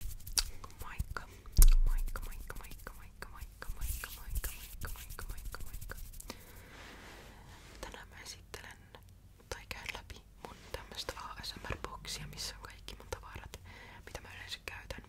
Moikka, moikka, moikka, moikka, moikka, moikka, moikka, moikka, moikka, moikka, moikka, moikka. Tänään mä esittelen tai käyn läpi mun tämmöstä ASMR-boksia, missä on kaikki mun tavarat, mitä mä yleensä käytän,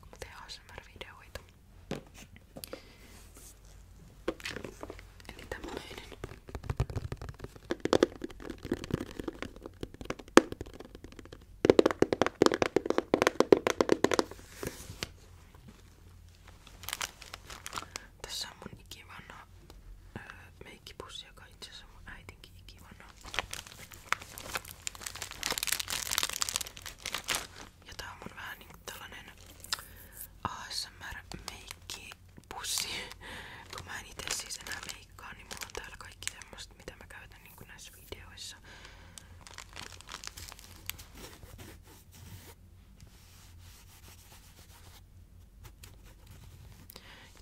kun mä teen ASMR-videoita. Eli tämmöinen. Tässä mun ikivanha meikkipussi, joka itse on mun Ja tää on vähän niinku tällainen ASMR-meikkipussi, kun mä en itse siis enää klikkaa, niin mulla on täällä kaikki semmoista, mitä mä käytän niin kuin näissä videoissa.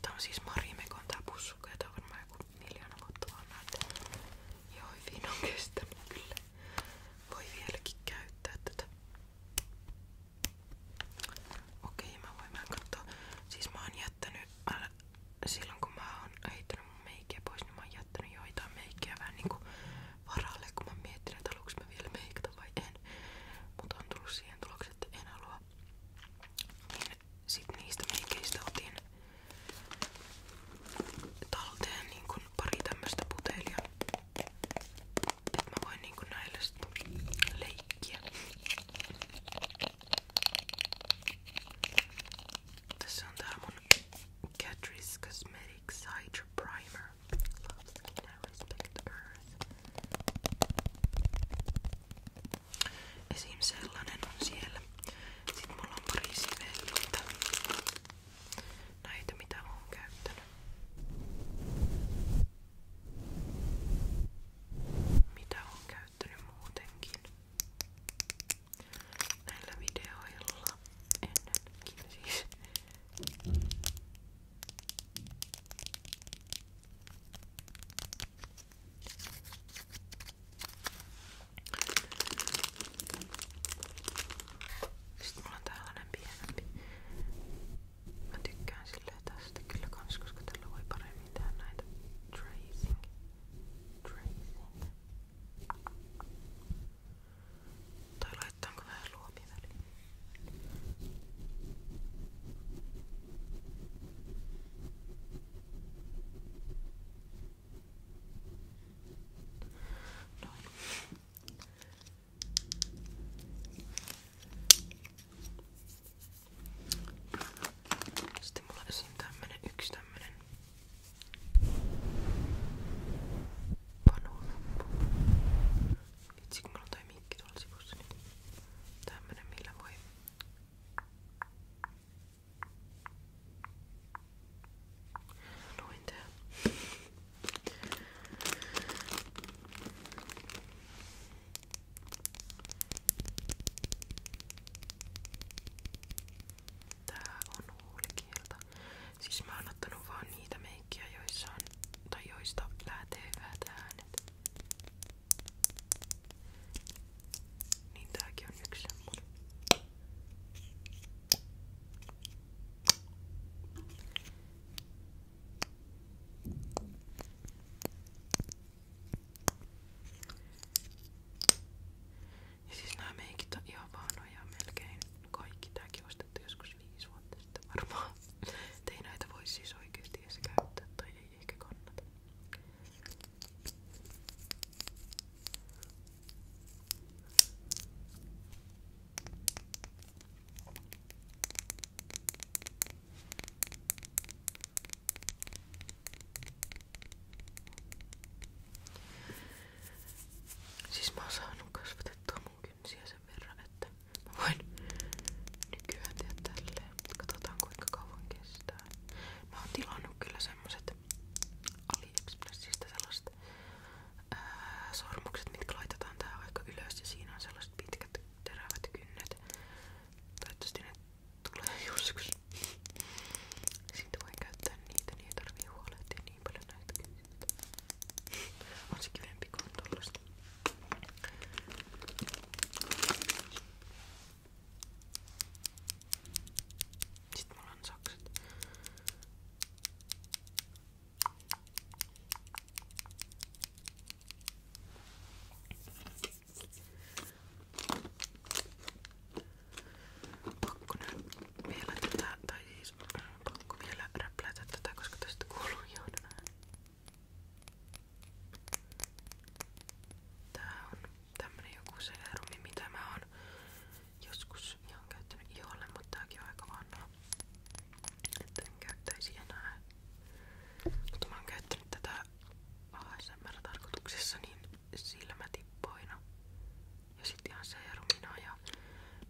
Tää on siis Marimekon tää pussukka ja tää on varmaan joku miljoona vuotta vanha. Joo, hyvin on kestänyt kyllä. Voi vieläkin käyttää tätä. Okei, mä voin vähän katsoa. Siis mä oon jättänyt, älä, silloin kun mä oon heittänyt mun meikkiä pois, niin mä oon jättänyt joitain meikkiä vähän niinku varalle, kun mä mietin, että haluanko mä vielä meikata vai en. Mutta on tullut siihen tulokseen, että en halua. Niin sit niistä meikeistä otin talteen niin kun pari tämmöstä putelia. Et mä voin niinku näillä leikkiä. Tässä on tää mun Catrice Cosmetics Hydra Primer. Love skin, I respect earth. Esim. sellainen on siellä. Sitten mulla on pari sivellyltä. Näitä mitä mä oon käyttänyt. Mitä on käyttänyt? käyttänyt muutenkin näillä videoilla ennenkin siis. Sitten mulla on tällainen pienempi. Mä tykkään sille löytää tästä kyllä kans, koska tällä voi paremmin tehdä näitä tracing. Tracing. Tai laittaanko vähän luomia väliin? Noin. Sitten mulla on tämmönen yksi tämmönen panorappu. Vitsi kun mulla on toi mikki tuolla sivussa nyt. Niin tämmönen millä voi Noin tää. Tää on huulikieltä. Siis mä oon ottanut vaan niitä meikkiä, joissa on, tai joista lähtee hyvät äänet. Niin tääkin on yksi semmonen. Ja siis nämä meikit on ihan vanhoja melkein kaikki. Tääkin ostettu joskus viisi vuotta sitten varmaan. Et ei näitä voi siis oikeesti edes käyttää tai ei ehkä kannata. Siis mä oon saanut kasvatettua mun kynsiä sen verran, että mä voin nykyään tehdä tälleen. Katsotaan kuinka kauan kestää. Mä oon tilannut kyllä semmoset AliExpressistä sellaiset ää, sormukset, mitkä laitetaan tää vaikka ylös ja siinä on sellaiset pitkät terävät kynnet. Toivottavasti ne tulee joskus. Siitä voi käyttää niitä, niin ei tarvii huolehtia niin paljon näitä kysytä. On se kivempi kuin tollasta. Sitten mulla on sakset. Pakko nyt vielä tätä, tai siis äh, pakko vielä räplätä tätä, koska tästä kuuluu johdon Tää on tämmönen joku seerumi, mitä mä oon joskus ihan käyttänyt iholle, mutta tääkin on aika vanha. Että en käyttäisi enää. Mutta mä oon käyttänyt tätä ASMR-tarkoituksessa niin silmätippoina ja sitten ihan serumina ja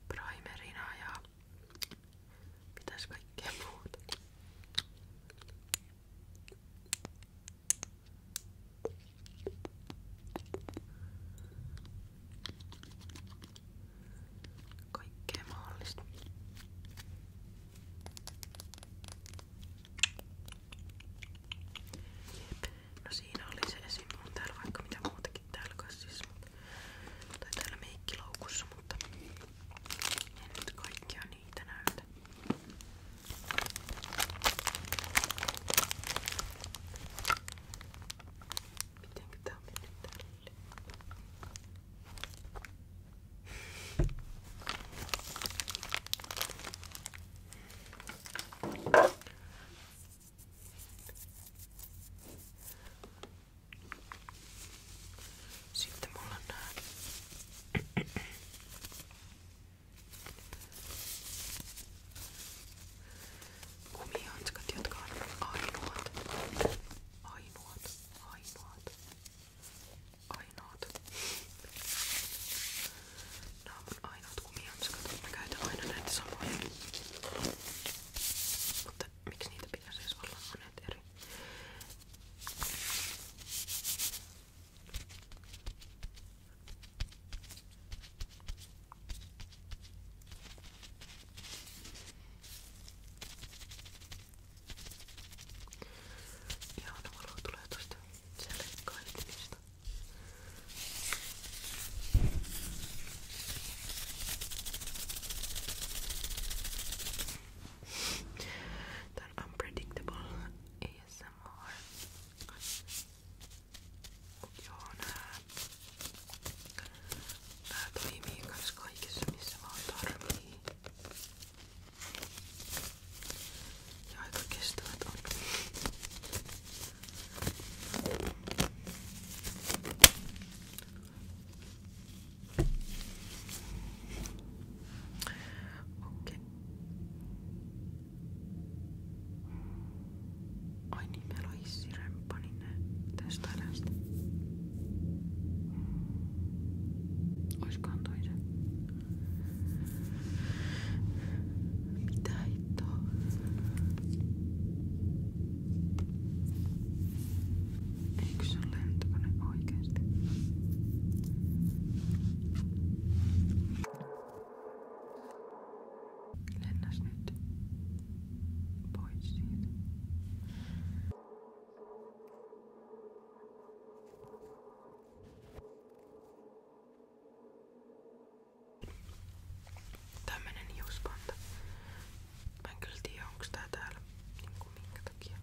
primerina ja mitäs kaikkea muuta. Kaikkea mahdollista. No siinä oli se esim. On täällä vaikka mitä muutakin täällä kassissa. Siis. Tai täällä meikkiloukussa, mutta en nyt kaikkia niitä näytä. Mitenkä tää on mennyt tälle? Sitten mulla on nää. Kumihanskat, jotka on ainoat, ainoat, ainoat, Ainoat. Nämä on mun ainoat kumihansikat. Mä käytän aina näitä samoja. Mutta miksi niitä pitäisi edes olla monet eri? Tää Ihana no valo tulee tosta selkäkaitimista. Tää on unpredictable ASMR. Joo, nää, nää toimii kans kaikissa missä vaan tarvii. Ja aika kestävät on. Okei. Okay. Ai niin, meillä on hissiremppa, niin ne testaillaan sitä. Oiskohan toi se? Mitä hittoa? Eikö se ole lentokone oikeesti? Lennäs nyt pois siitä. Tämmönen hiuspanta. Mä en kyllä tiedä onks tää täällä niinku minkä takia.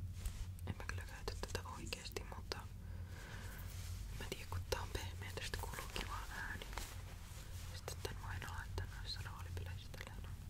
En mä kyllä käytä tätä oikeesti, mutta mä tiedän kun tää on pehmeä, tästä kuuluu kiva ääni. Sitten tän aina laittaa noissa roolipileissä tällä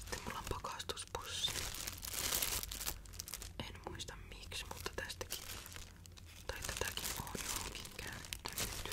Sitten mulla on pakastuspussi. En muista miksi, mutta tästäkin tai tätäkin on johonkin käyttänyt.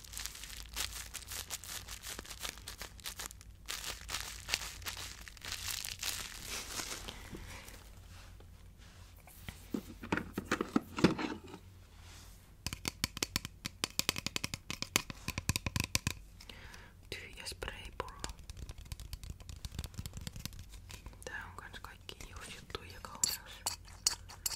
Tyhjä spraypullo. Tää on kans kaikki juusjuttuja kauneus.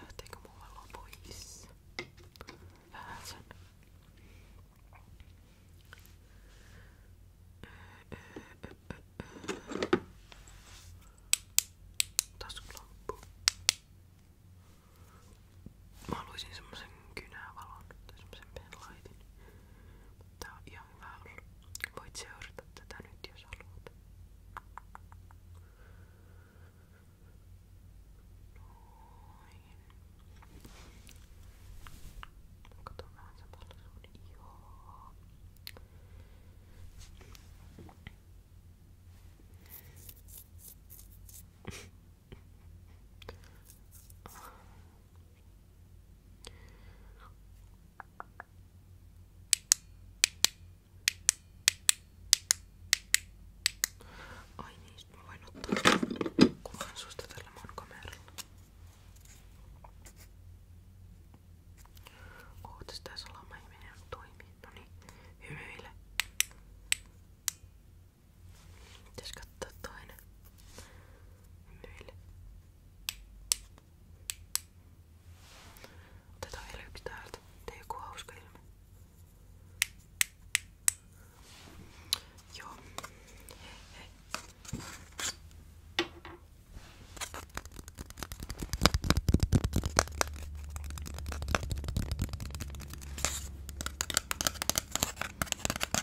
Lähteekö muualla pois? Vähän sen. Taskulamppu. Mä haluaisin semmosen kynävalon tai semmosen penlaitin. Tää on ihan hyvä ollut. Voit seurata tätä nyt jos haluat. Noin. Katsotaan vähän samalla sun ihoa. Ai niin, mä voin ottaa kuvan susta tällä mun kameralla. Ootas tää salama ei mene toimii. Noniin, hymyile. Pitäis katsoa toinen. Myille. Otetaan vielä yksi täältä. Tee joku hauska ilme. Joo. Hei hei.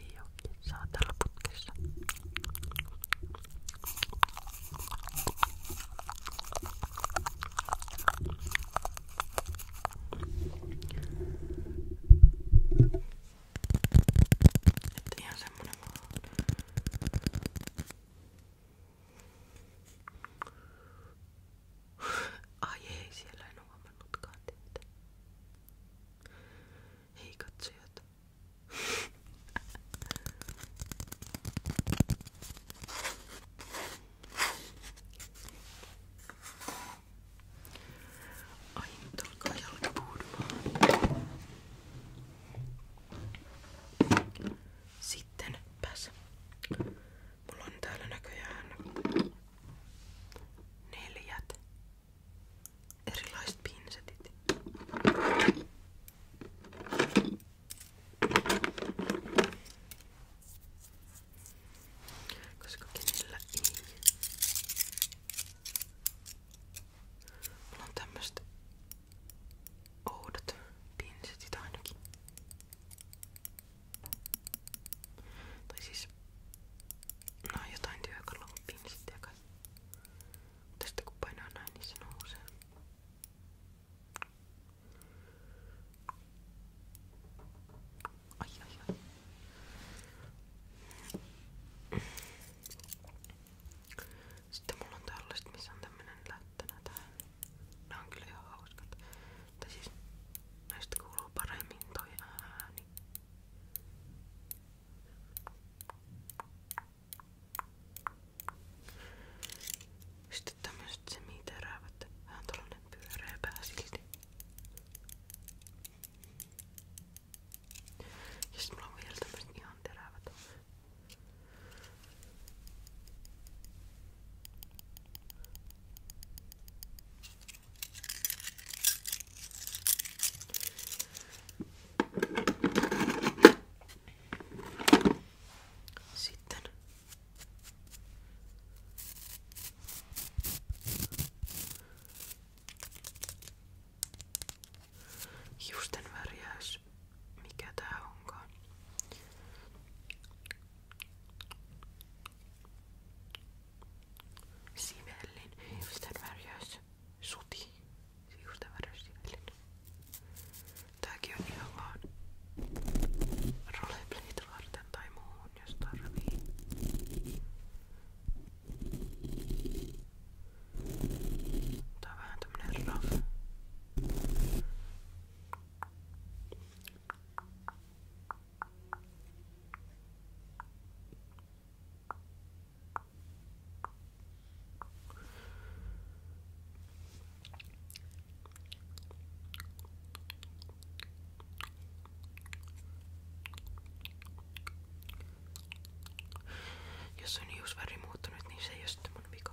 Ei oo saa tällä putkessa. Että ihan semmonen vaan. Ai ei, siellä en huomannutkaan teitä. Hei katsojat. Ai nyt alkaa jalka puhumaan. Sitten pääs. Mulla on täällä näköjään neljät erilaiset pinsetit. Koska kenellä ei. Mulla on tämmöset oudot pinsetit ainakin. Tai siis No jotain työkalua niin sitten kai. Mutta sitten kun painaa näin, niin se nousee. Ai ai ai. Sitten mulla on tällaiset, missä on tämmönen lättänä tää. Nää on kyllä ihan hauskat. Tai siis näistä kuuluu paremmin toi ääni. Sitten tämmöset semiteräävät. Vähän tollanen pyöreä pää silti. Ja sit mulla on vielä tämmöset ihan terävät. Sitten hiusten värjäys, mikä tää onkaan sivellin. Miten värjäys? Suti. Siusten värjäys sivellin. Tääkin on ihan vaan roleplaytä varten tai muuhun, jos tarvii. Tää on vähän tämmönen rough. Tää jos on hiusväri niin muuttunut, niin se ei ole sitten mun vika.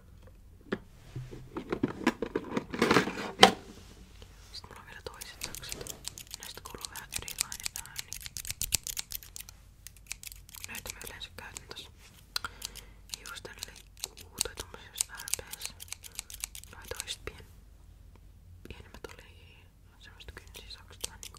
Sitten mulla on vielä toiset takset. Näistä kuuluu vähän erilainen ääni. Näitä mä yleensä käytän tossa hiusten leikkuu tai tommosessa RPS. Noi toiset pien, pienemmät oli semmoista kynsisakset vähän niinku.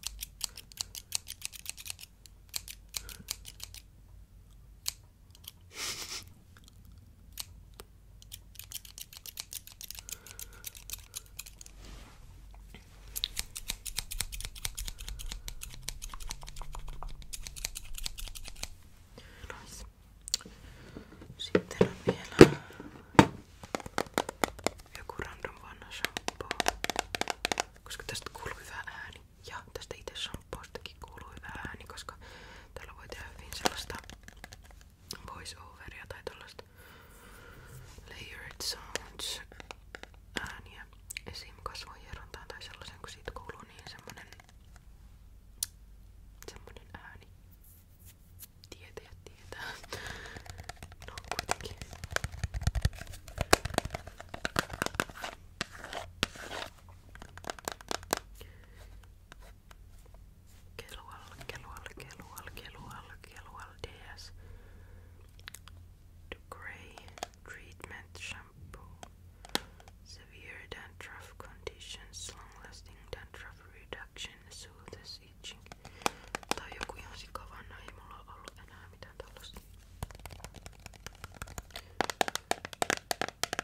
Nois. Sitten on vielä joku random vanha shampoo, tästä kuuluu hyvä ääni. Ja tästä itse shampoostakin kuului hyvä ääni, koska tällä voi tehdä hyvin sellaista voice overia tai tällaista layered sounds ääniä esim. kasvohierontaan tai sellaisen, kun siitä kuuluu niin semmonen semmonen ääni. Tietää, tietää. No kuitenkin. Kelual, kelual, kelual, kelual, kelual DS. The Grey Treatment Shampoo. Severe dandruff conditions, long-lasting dandruff reduction, soothes itching. Tää on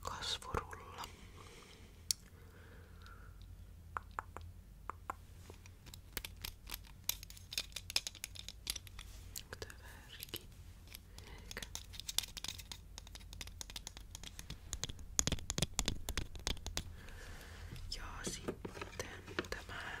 Kasvurulla. Töverki. Eikä. Ja sitten tämä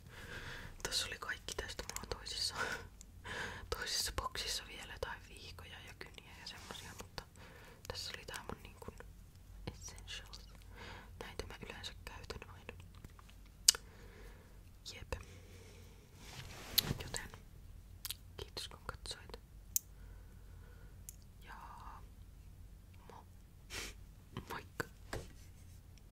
Tässä oli kaikki tästä. Mulla on toisissa, toisissa boksissa vielä tai viikoja ja kyniä ja semmosia, mutta tässä oli tää mun niin kuin essentials. Näitä mä yleensä käytän aina. Jep. Joten kiitos kun katsoit. Ja mo. Moikka.